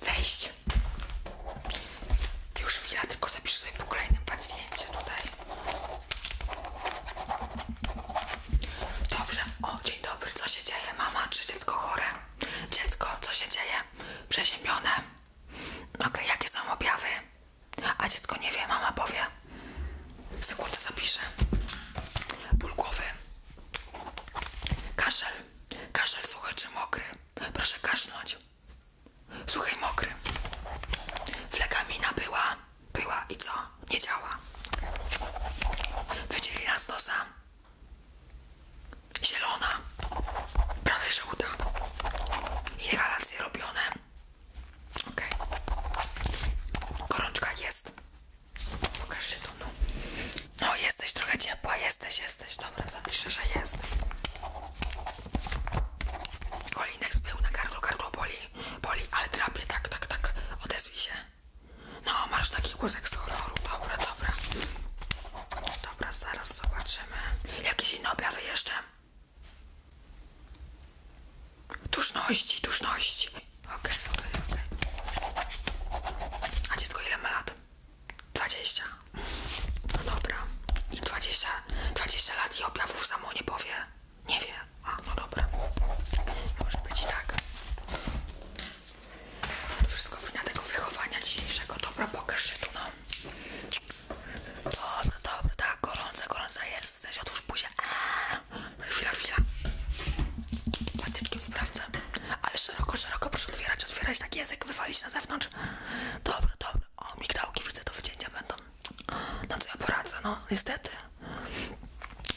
Wejść. Już chwila, tylko zapiszę sobie po kolejnym pacjencie tutaj. Dobrze, o dzień dobry, co się dzieje? Mama czy dziecko chore? Dziecko, co się dzieje? Przeziębione. Ok, jakie są objawy? A dziecko nie wie, mama powie. Sekundę zapiszę. Ból głowy. Kaszel. Kaszel suchy czy mokry? Proszę kasznąć. Słuchaj mokry. Flekamina była, była i co? Nie działa. Wydzieli nas nosa. Zielona. Prawie żółta. Inhalacje robione. Okej. Okay. Gorączka jest. Pokaż się tu, no. No, jesteś trochę ciepła, jesteś, jesteś. Dobra, zapiszę, że jest. Kolinek zbył na gardło, gardło boli, boli, ale drapie, tak, tak, tak. Odezwij się. No, masz taki głosek z horroru, dobra, dobra. Dobra, zaraz zobaczymy. Jakieś inne objawy jeszcze? Duszności, duszności. Okej, okay, okej, okej. A dziecko ile ma lat? Dwadzieścia. No dobra. I dwadzieścia, 20 lat i objawów samo nie powie. Nie wie. A, no dobra. Może być i tak. To wszystko wina tego wychowania dzisiejszego. Dobra, pokaż się tu, no. Dobra, no dobra, tak, gorące, gorąca jesteś. Otwórz buzię. Eee. Chwila, chwila. Patyczkiem sprawdzę. Ale szeroko, szeroko proszę otwierać, otwierać tak język, wywalić na zewnątrz. Dobra, dobra. O, migdałki widzę do wycięcia będą. No co ja poradzę, no niestety.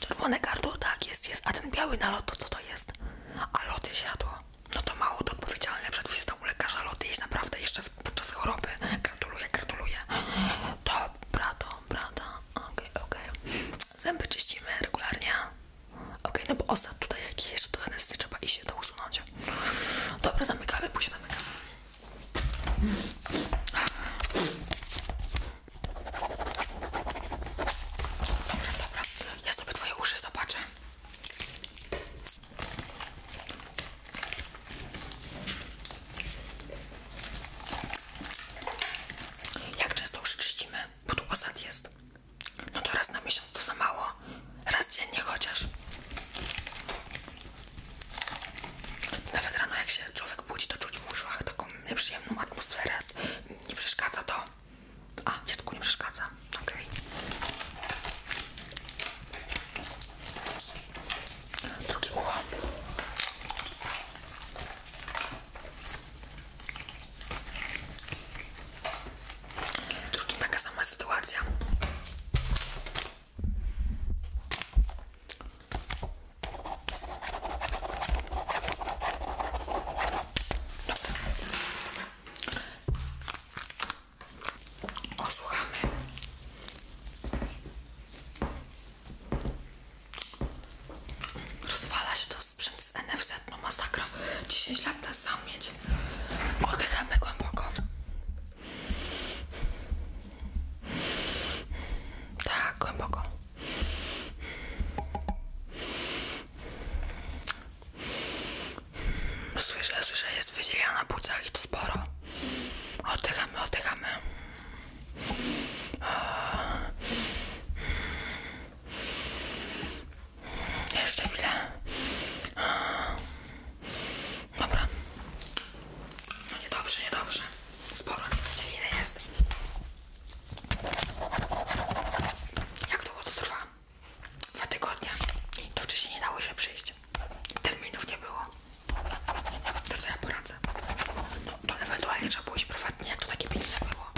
Czerwone gardło, tak jest, jest. A ten biały nalot, to co to jest? A loty zjadło No to mało to odpowiedzialne przed wizytą u lekarza loty jest naprawdę jeszcze podczas choroby. Gratuluję, gratuluję. Dobra, dobra, okej, okej. Zęby czyścimy regularnie. Ok, no bo osad tutaj jakiś jeszcze do nie trzeba i się to usunąć. Dobra, zamykamy, później zamykamy. Dobra, dobra. Ja sobie twoje uszy zobaczę. Jak często już czyścimy? Bo tu osad jest. No to raz na miesiąc to za mało. Raz dziennie chociaż. Nawet rano jak się człowiek budzi, to czuć w uszach taką nieprzyjemną atmosferę. Nie przeszkadza to. A, dziecku nie przeszkadza. Okej. Okay. Drugie ucho. W drugim sama sytuacja. Osłuchamy. Rozwala się to sprzęt z NFZ, no masakra. 10 lat nas sam mieć. Oddychamy głęboko. Tak, głęboko. Słyszę, słyszę, jest wydzielana na płucach i to sporo. Oddychamy, oddychamy. Jeszcze chwilę. Dobra. No niedobrze, niedobrze. Sporo nie wiedzieli ile Jak długo to trwa? Dwa tygodnie. To wcześniej nie dało się przyjść. Terminów nie było. To co ja poradzę? No, to ewentualnie trzeba było iść prywatnie, jak to takie pilne było.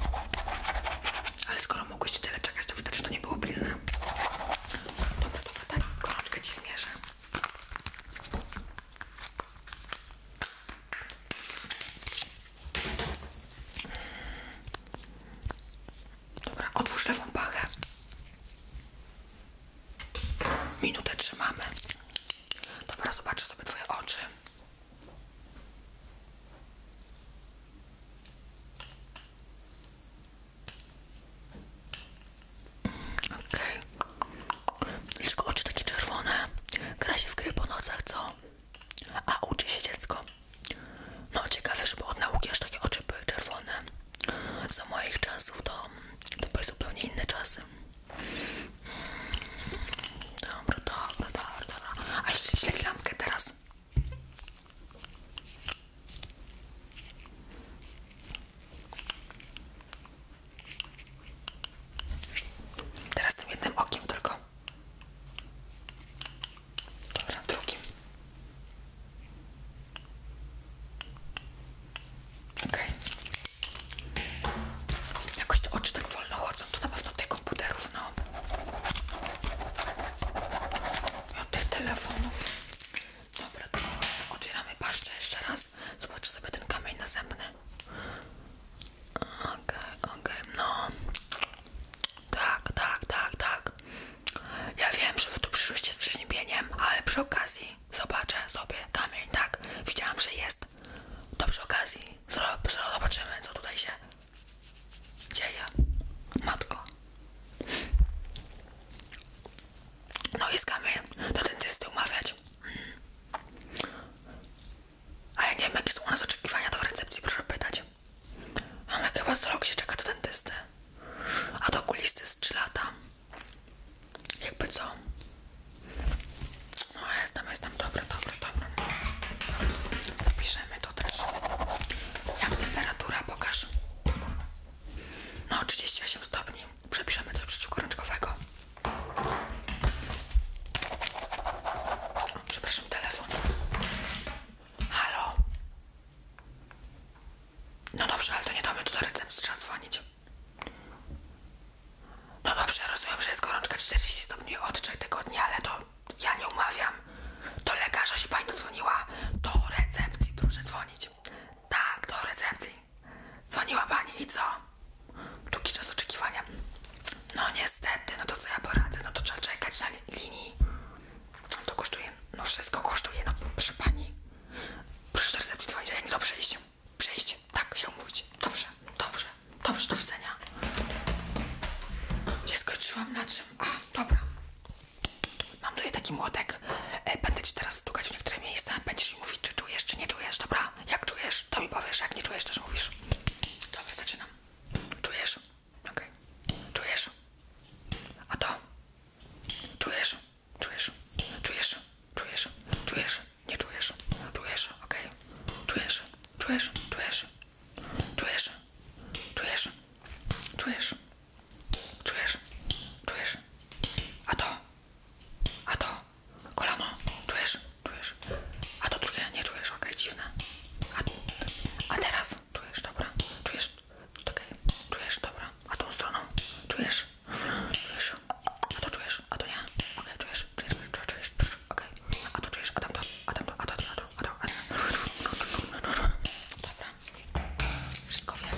Ale skoro mogłyście tyle czekać, to widocznie to nie było pilne. Dobra, dobra, tak, gorączkę ci zmierzę. Dobra, otwórz lewą pachę. Minutę trzymamy. Dobra, zobaczę sobie Twoje oczy. Ok. Dlaczego oczy takie czerwone? Gra się w gry po nocach, co? A uczy się dziecko. No ciekawe, żeby od nauki aż takie oczy były czerwone. Za moich czasów to były zupełnie inne czasy. Dobra, dobra, dobra, A jeszcze teraz. Teraz tym jednym okiem tylko. Dobra, drugim. Okay. Jakoś te oczy tak wolno chodzą, to na pewno tych komputerów, no. A tych telefonów. Dobra, to otwieramy paszczę jeszcze raz. Zobaczę sobie ten kamień następny. Okej, ok okej, no. Tak, tak, tak, tak. Ja wiem, że wy tu przyszłyście z przeziębieniem, ale przy okazji zobaczę sobie kamień, tak? Widziałam, że jest. Dobrze przy okazji zobaczymy, co tutaj się dzieje. Matko. No i z kamień do dentysty umawiać. A ja nie wiem, jakie są u nas oczekiwania, to w recepcji proszę pytać. Mamy chyba z rok się czeka do dentysty. A do okulisty z 3 lata. Jakby co? No jestem, jestem, dobra, dobra, dobra. Zapiszemy to też. Jak temperatura, pokaż. No 38 stopni. Przepiszemy coś przeciwkorączkowego. O, przepraszam, telefon. Halo? No dobrze, ale to nie damy do recepcji, trzeba dzwonić. No dobrze, rozumiem, że jest gorączka 40 stopni od 3 tygodni, ale to ja nie umawiam. To lekarza się pani dzwoniła. Do recepcji, proszę dzwonić. Tak, do recepcji. Dzwoniła pani i co? Długi czas oczekiwania. No niestety, no to co ja poradzę? No to trzeba czekać na linii. To kosztuje, no wszystko kosztuje, no proszę pani. Proszę do recepcji dzwonić, ja nie do przyjść. Przyjść, tak się umówić. Dobrze, dobrze, dobrze, do widzenia. Gdzie skończyłam na czym? A, dobra. Mam tutaj taki młotek. E, będę ci teraz stukać w niektóre miejsca. Będziesz mi mówić, czy czujesz, czy nie czujesz, dobra? Jak czujesz, to mi powiesz. Jak nie czujesz, też mówisz. Dobra, zaczynam. Czujesz? Okej. Czujesz? A to? Czujesz? czujesz, czujesz, czujesz, czujesz, nie czujesz, czujesz, okej, okay. czujesz, czujesz, czujesz, czujesz, czujesz, czujesz, czujesz, czujesz, a to, a to, kolano, czujesz, czujesz, a to drugie nie czujesz, okej, okay, dziwne, a, a teraz czujesz, dobra, czujesz, Czekaj, czujesz? Dobra. A tą stroną? Czujesz? Czujesz? A to czujesz? A to nie? Okej, okay, czujesz? Czujesz? Czujesz? Czujesz? czujesz. Okej. Okay. A to czujesz? A tamto? A tamto? A to? A to? A to? A to? Dobra. Wszystko wiem.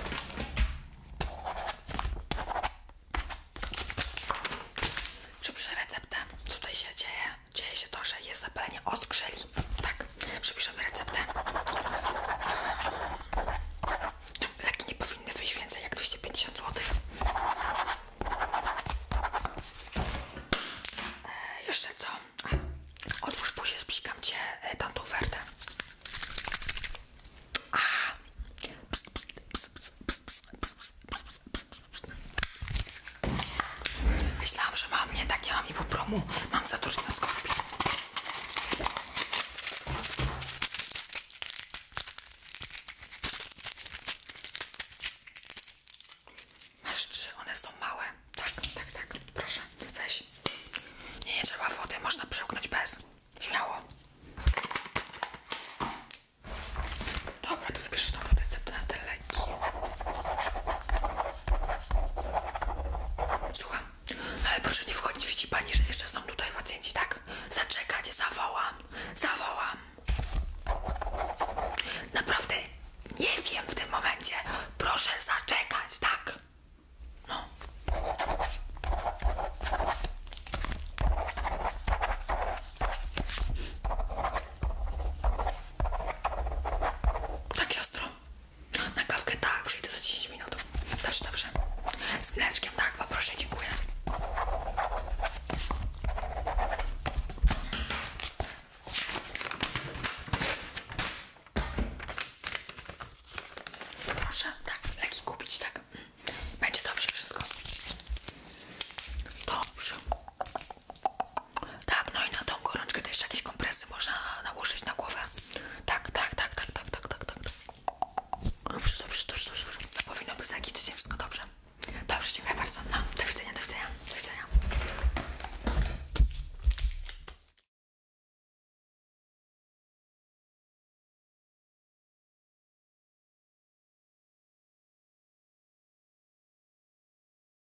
Przepiszę receptę. Co tutaj się dzieje? Dzieje się to, że jest zapalenie oskrzeli zrobić. Tak, przepiszemy receptę. Leki nie powinny wyjść więcej jak 250 zł. E, jeszcze co? A, otwórz później, sprzykam cię e, ofertę. Myślałam, że mam nie tak, nie mam i po promu. Mam za dużo na sklepie. Masz czy one są małe. Tak, tak, tak. Proszę, weź. Nie, nie trzeba wody, można przełknąć bez. Śmiało. Dobra, to wybierz nową receptę na Słucham. ale proszę nie wchodzić, widzi pani, że jeszcze są tutaj pacjenci, tak? Zaczekać, zawołam, zawołam. Naprawdę nie wiem w tym momencie. Proszę zaczekać, tak? No. Tak, siostro. Na kawkę tak, przyjdę za 10 minut. Dobrze, dobrze. Z mleczkiem tak, poproszę, dziękuję. Proszę, tak, leki kupić, tak. Będzie dobrze wszystko. Dobrze. Tak, no i na tą gorączkę też jakieś kompresy można nałożyć na głowę. Tak, tak, tak, tak, tak, tak, tak, tak. Dobrze, dobrze, dobrze, dobrze. Powinno być zagiczyć, wszystko dobrze. Dobrze, dziękuję bardzo. No, do widzenia, do widzenia, do widzenia.